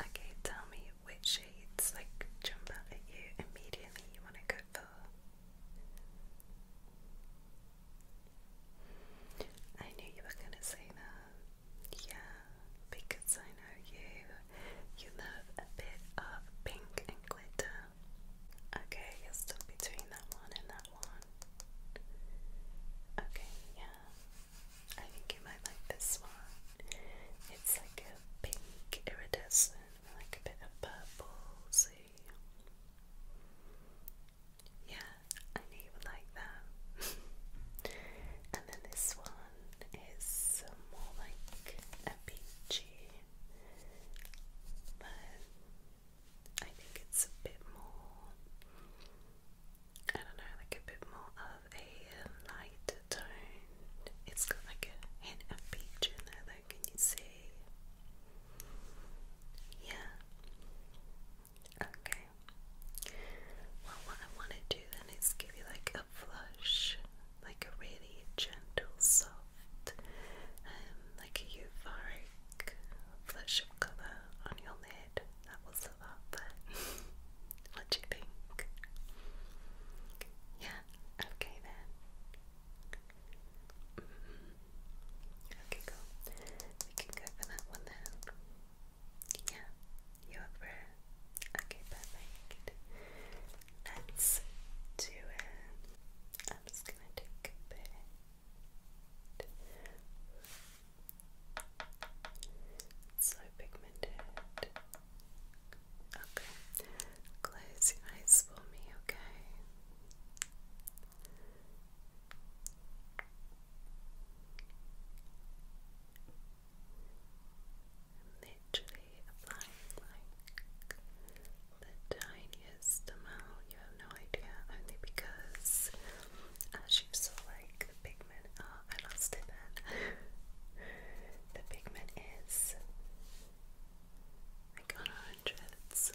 Okay, tell me which shades like jump out at you immediately. You want to go for. I knew you were gonna say that. Yeah, because I know you. You love a bit of pink and glitter. Okay, you're still between that one and that one. Okay, yeah. I think you might like this one. It's like a pink iridescent like a bit of purple, Yeah, I knew you would like that. and then this one is more like a peachy, but I think it's a bit more, I don't know, like a bit more of a lighter tone. It's got like a hint of peach in there can you see? Yeah. Okay. Well, what I want to do then is give you like a flush, like a really gentle, soft, um, like a euphoric flash colour on your lid that was sort out that. what do you think? Yeah, okay then. Mm-hmm. Okay, cool. We can go for that one then. Yeah, you're through. Okay, perfect. Let's do it. I'm just gonna take a bit. It's so pigmented. Okay. Close your eyes for me, okay? literally applying like the tiniest tiniest amount, you have no idea, only because as you saw, like the pigment, uh, I lost it the pigment is like on 100, so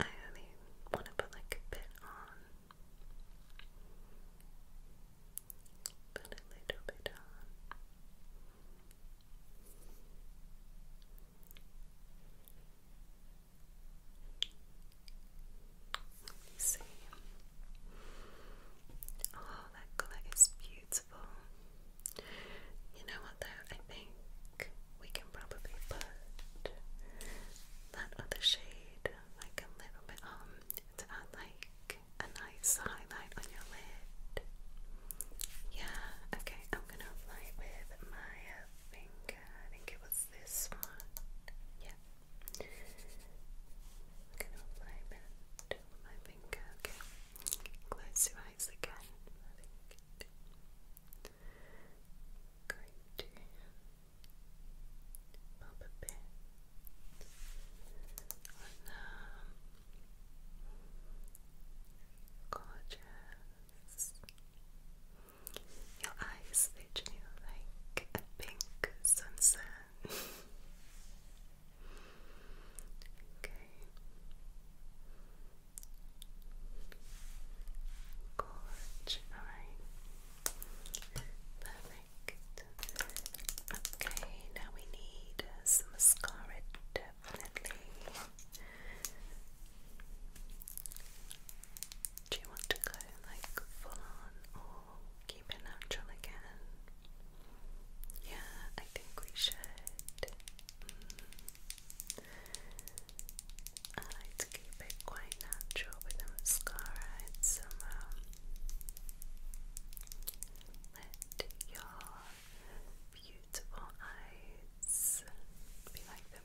I only want to put like a bit on. Put a little bit on. Let me see. Oh, that colour is beautiful. You know what though? I think we can probably put that other shade like a little bit on to add like a nice highlight on your lid. Yeah, okay, I'm gonna apply with my uh, finger. I think it was this one. Yeah. gonna apply that to my finger. Okay. Close your eyes again. going to pop a bit on the um, gorgeous your eyes, they drew like a pink sunset. okay. Gorge, Perfect. Okay, now we need uh, some mascara, definitely. Do you want to go like full on or keep it natural again? Yeah, I think we should. Mm. I like to keep it quite natural with a mascara and some let your beautiful eyes be like the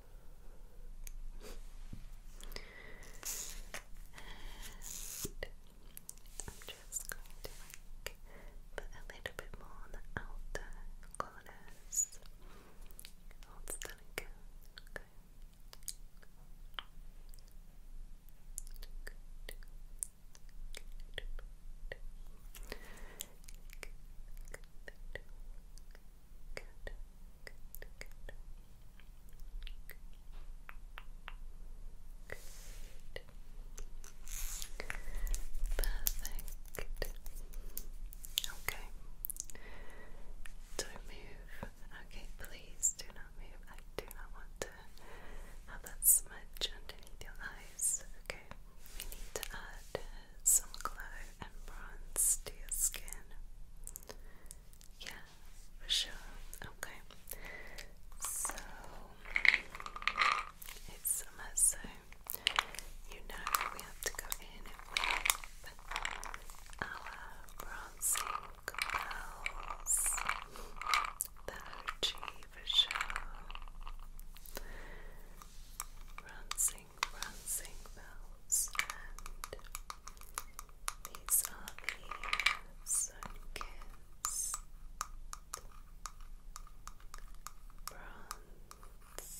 And I'm just going to put a little bit more on the outer corners. Good. Good. Perfect. Okay. Don't move. Okay, please do not move. I do not want to have that smudge underneath your eyes. Okay. We need to add some glow and bronze to your skin. Yeah, for sure. Okay. So it's summer, so you know we have to go in with our bronzing curls. The OG for sure. Bronzing, bronzing bells these are the sun-kissed and glow bronzing bells.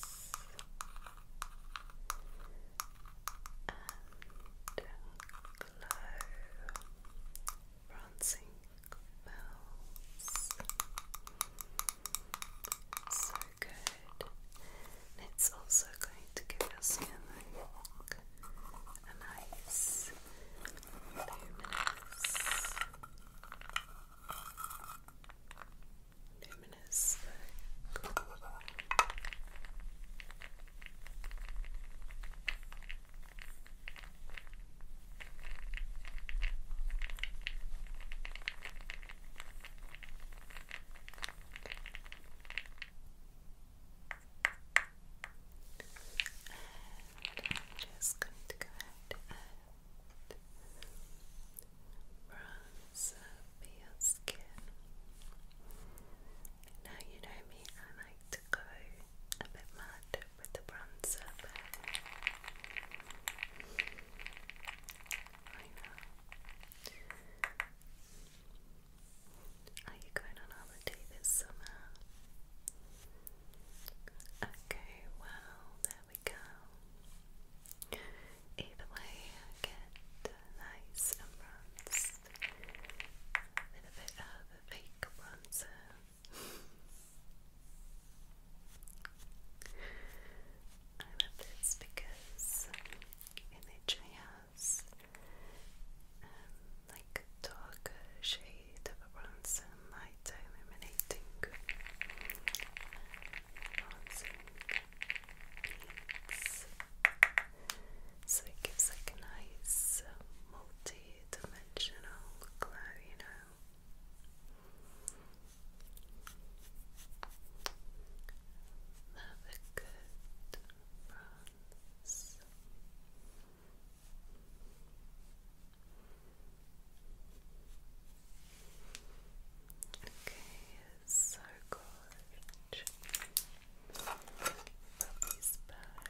So good it's also going to give your skin a nice luminous, luminous look. And just going to go ahead and bronze your skin. Now you know me, I like to go a bit mad with the bronzer, I know. Are you going on holiday this summer? Okay, well, there we go. Either way, get nice and a bit of a fake bronzer. I love this because in the has um, like darker shade of a bronzer, lighter illuminating bronzing So it gives like a nice um, multi-dimensional glow, you know. Another good bronzer hands. Okay, so good. Put back.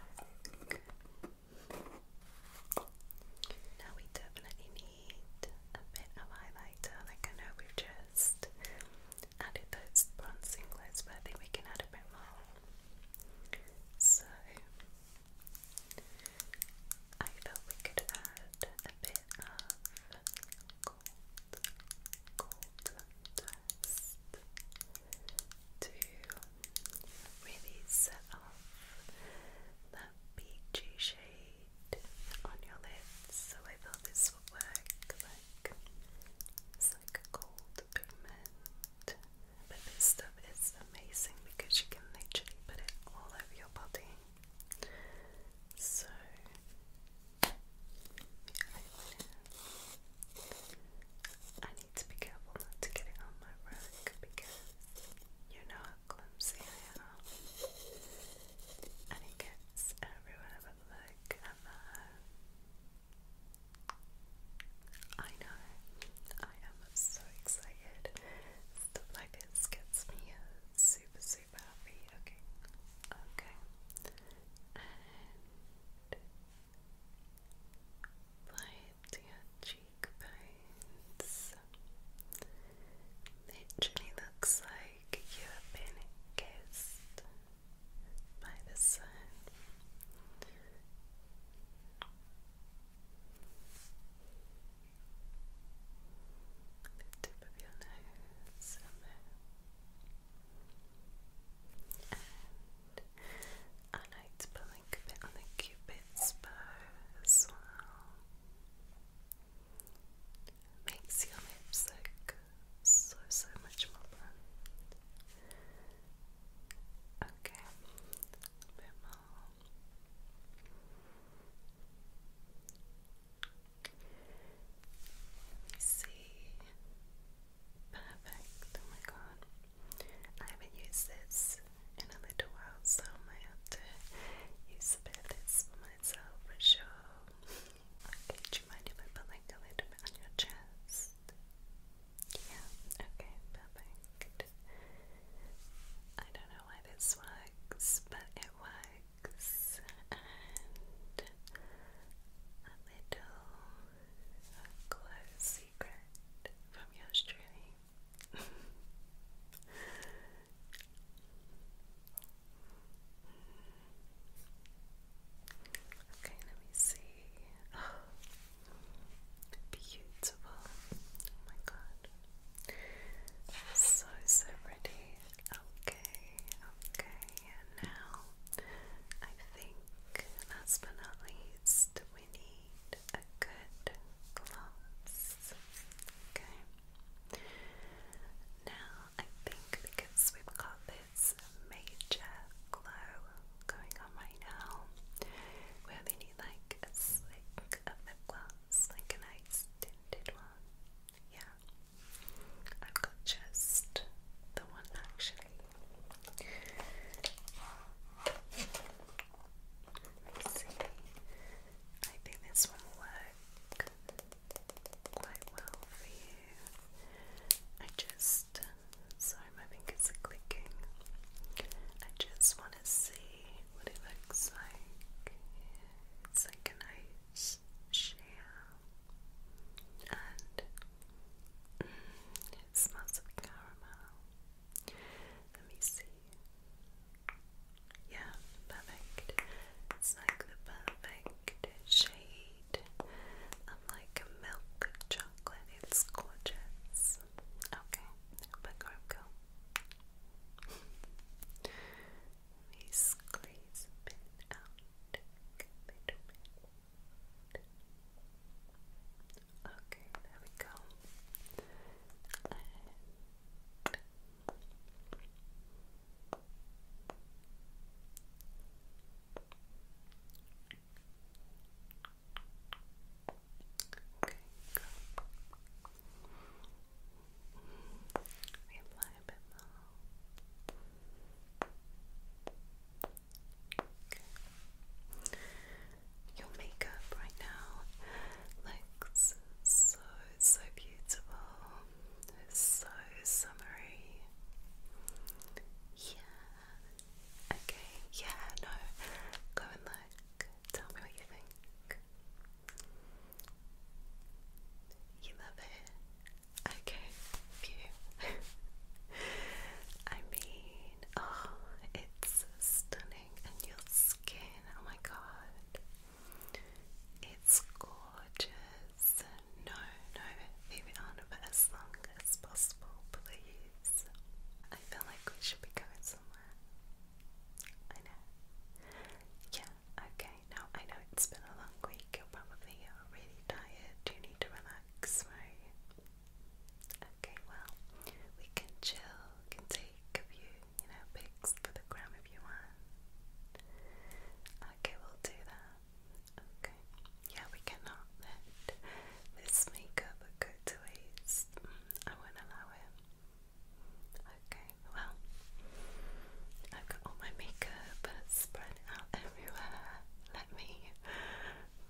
Now we definitely need a bit of highlighter. Like I know we've just added those bronze singlets, but I think we can add a bit more. So I thought we could add a bit of gold, gold dust to really set off that peachy shade on your lips. So I thought this would work it's like a gold pigment. But this stuff is amazing because you can literally put it all over your body. So yeah, I need to be careful not to get it on my rug because you know how clumsy I am. And it gets everywhere a look I know. I am so excited. like this gets me super, super happy. Okay. Okay. And right to your cheekbones. Literally looks like you have been kissed by the sun. The tip of your nose and I like to a bit on the cupid's bow as well. Makes your lips look so, so much more fun. Okay, a bit more. Let see. Perfect. Oh my god. I haven't used this in a little while, so I have to use a bit of this for myself for sure. Okay, do you mind if I put like a little bit on your chest? Yeah, okay, perfect. I don't know why this works, but it works. And little close secret from yours Okay, let me see. beautiful. Oh my god. So, so pretty. Okay, okay. now, I think, last but not least, we need a good gloss. Okay. Now, I think because we've got this major glow going on right now where we need like a slick of lip gloss, like a tinted one. Yeah. I've got just the one actually. Let I think this one will work quite well for you. I just sorry my fingers are clicking. I just want to see what it looks like. It's like a nice share, and mm, it smells of caramel. Let me see. Yeah, perfect. It's like the perfect pink shade of like a milk chocolate. It's gorgeous. Okay, back arm go. Okay, there we go. Okay, go. Your makeup right now looks so, so beautiful. It's so summery. Yeah, Okay, yeah, no. Go and look. Tell me what you think. You love it. Okay, phew. I mean, oh, it's stunning. And your skin, oh my god. It's gorgeous no, no, leave on as long as possible, please. I feel like we should be going somewhere. I know. Yeah, okay, now I know it's been a long week, you're probably really tired, you need to relax, right? Okay, well, we can chill, can take a few, you know, pics for the gram if you want. Okay, we'll do that. Okay. Yeah, we cannot let this makeup go to waste. Mm, I won't allow it. Okay, well, I've got all my makeup spread out everywhere. Let me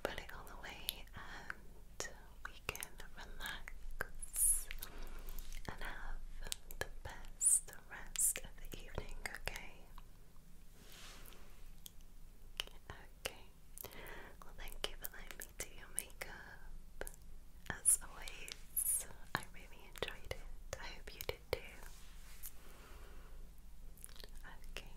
put it all away and we can relax and have the best rest of the evening, okay? Okay. Well, thank you for letting me do your makeup. As always, I really enjoyed it. I hope you did too. Okay.